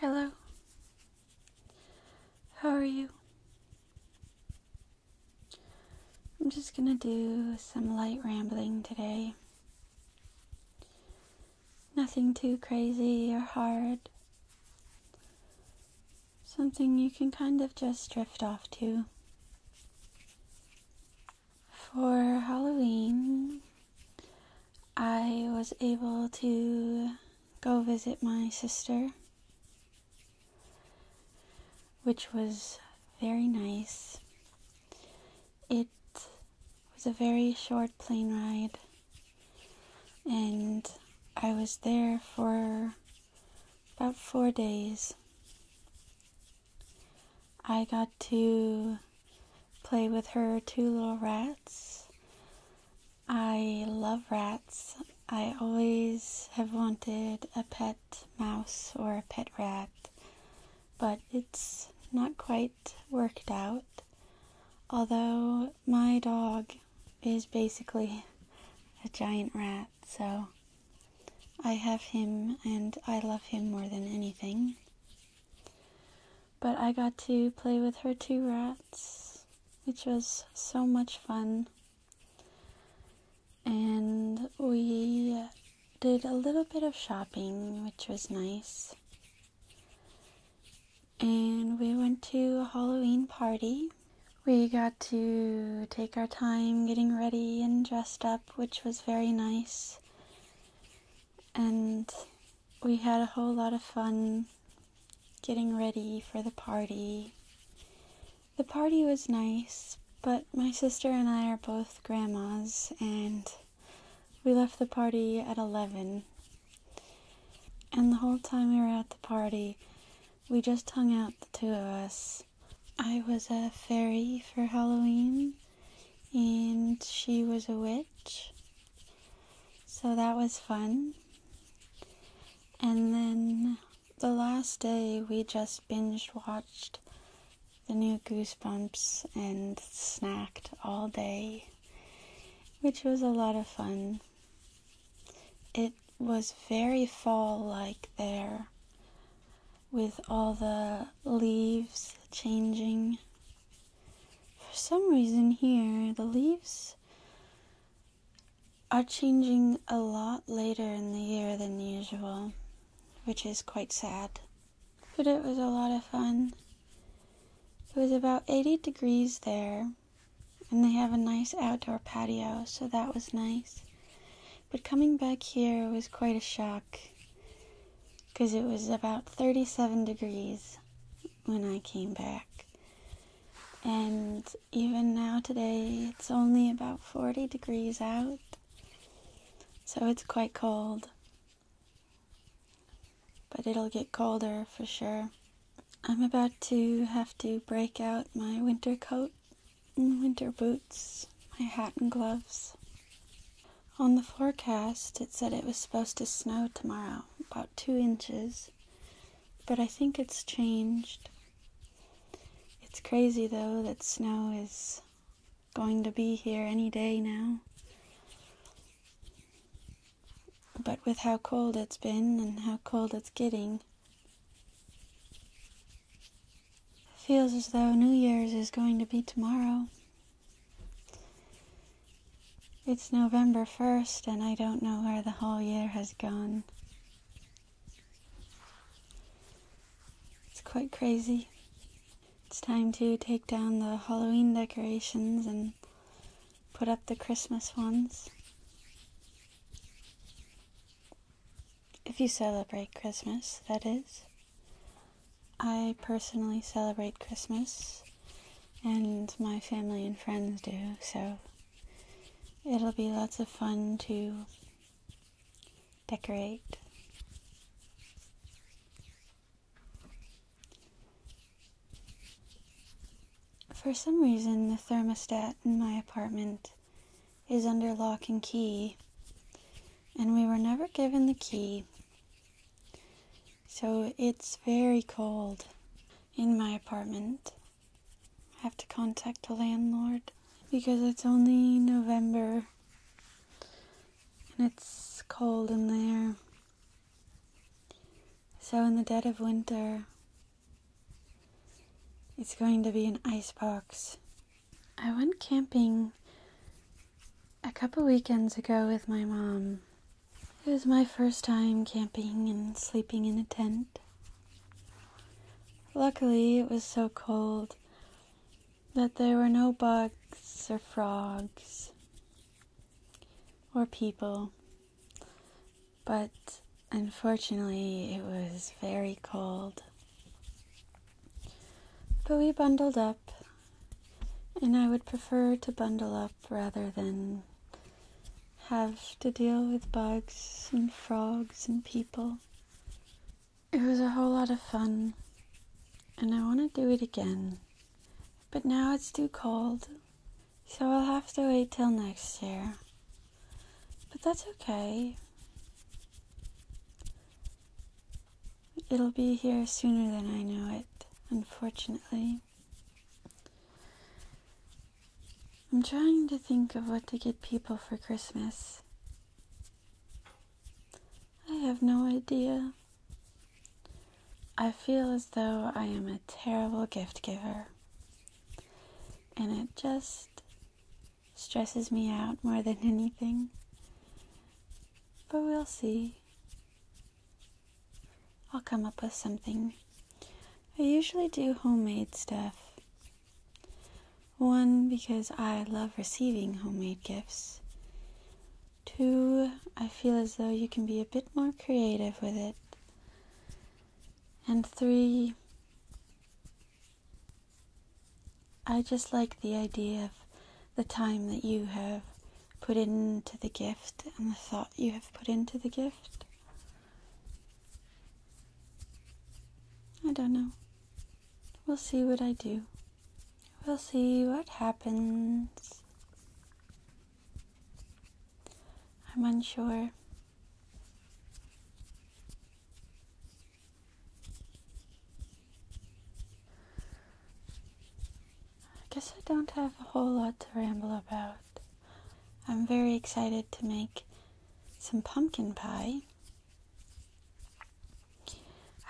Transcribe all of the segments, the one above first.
Hello. How are you? I'm just gonna do some light rambling today. Nothing too crazy or hard. Something you can kind of just drift off to. For Halloween, I was able to go visit my sister, which was very nice. It was a very short plane ride, and I was there for about four days. I got to play with her two little rats. I love rats. I always have wanted a pet mouse or a pet rat, but it's not quite worked out. Although my dog is basically a giant rat, so I have him and I love him more than anything. But I got to play with her two rats, which was so much fun. And we did a little bit of shopping, which was nice. And we went to a Halloween party. We got to take our time getting ready and dressed up, which was very nice and we had a whole lot of fun getting ready for the party. The party was nice, but my sister and I are both grandmas, and we left the party at 11. And the whole time we were at the party, we just hung out, the two of us. I was a fairy for Halloween, and she was a witch. So that was fun. And then the last day, we just binge watched the new Goosebumps and snacked all day, which was a lot of fun. It was very fall like there with all the leaves changing. For some reason, here the leaves are changing a lot later in the year than usual, which is quite sad. But it was a lot of fun. It was about 80 degrees there, and they have a nice outdoor patio, so that was nice. But coming back here was quite a shock because it was about 37 degrees when I came back. And even now today, it's only about 40 degrees out. So it's quite cold. But it'll get colder for sure. I'm about to have to break out my winter coat winter boots, my hat and gloves. On the forecast, it said it was supposed to snow tomorrow, about two inches, but I think it's changed. It's crazy though that snow is going to be here any day now. But with how cold it's been and how cold it's getting, Feels as though New Year's is going to be tomorrow. It's November 1st, and I don't know where the whole year has gone. It's quite crazy. It's time to take down the Halloween decorations and put up the Christmas ones. If you celebrate Christmas, that is. I personally celebrate Christmas, and my family and friends do, so it'll be lots of fun to decorate. For some reason, the thermostat in my apartment is under lock and key, and we were never given the key. So it's very cold in my apartment. I have to contact the landlord because it's only November and it's cold in there. So, in the dead of winter, it's going to be an icebox. I went camping a couple weekends ago with my mom. It was my first time camping and sleeping in a tent. Luckily, it was so cold that there were no bugs or frogs or people. But unfortunately, it was very cold. But we bundled up, and I would prefer to bundle up rather than have to deal with bugs and frogs and people. It was a whole lot of fun, and I want to do it again. But now it's too cold, so I'll have to wait till next year. But that's okay. It'll be here sooner than I know it, unfortunately. I'm trying to think of what to get people for Christmas. I have no idea. I feel as though I am a terrible gift giver. And it just stresses me out more than anything. But we'll see. I'll come up with something. I usually do homemade stuff. One, because I love receiving homemade gifts. Two, I feel as though you can be a bit more creative with it. And three, I just like the idea of the time that you have put into the gift and the thought you have put into the gift. I don't know. We'll see what I do. We'll see what happens. I'm unsure. I guess I don't have a whole lot to ramble about. I'm very excited to make some pumpkin pie.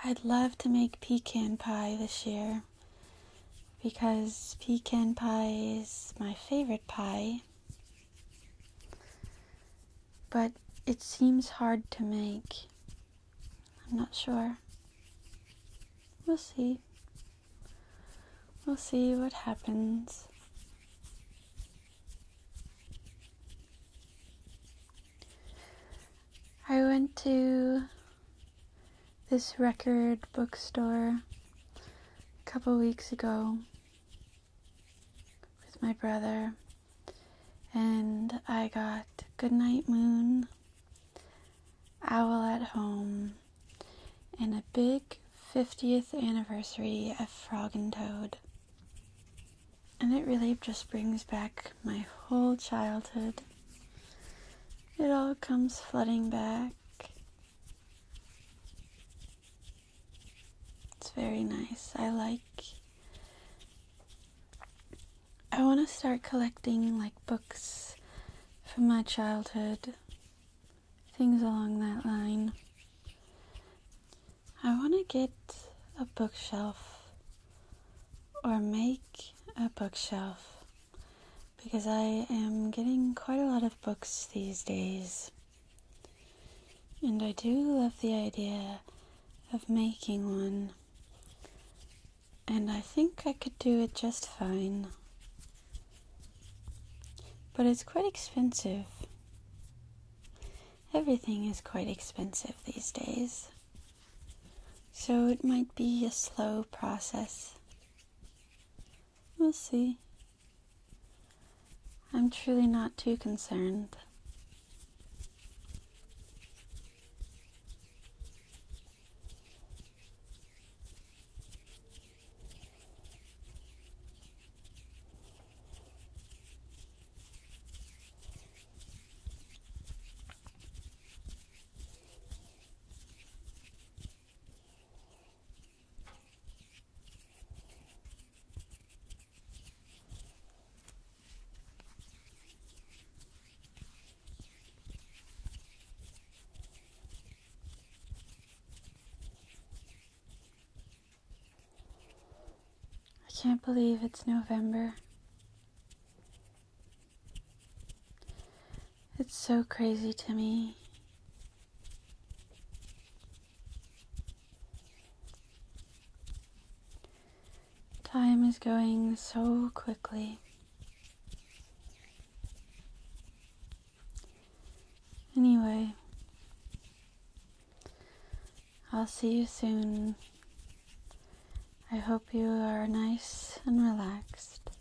I'd love to make pecan pie this year because pecan pie is my favorite pie, but it seems hard to make. I'm not sure. We'll see. We'll see what happens. I went to this record bookstore a couple weeks ago with my brother, and I got Goodnight Moon, Owl at Home, and a big 50th anniversary of Frog and Toad. And it really just brings back my whole childhood it all comes flooding back. It's very nice. I like. I want to start collecting like books from my childhood, things along that line. I want to get a bookshelf or make a bookshelf because I am getting quite a lot of books these days. And I do love the idea of making one. And I think I could do it just fine. But it's quite expensive. Everything is quite expensive these days. So it might be a slow process. We'll see. I'm truly not too concerned. I can't believe it's November. It's so crazy to me. Time is going so quickly. Anyway, I'll see you soon. I hope you are nice and relaxed.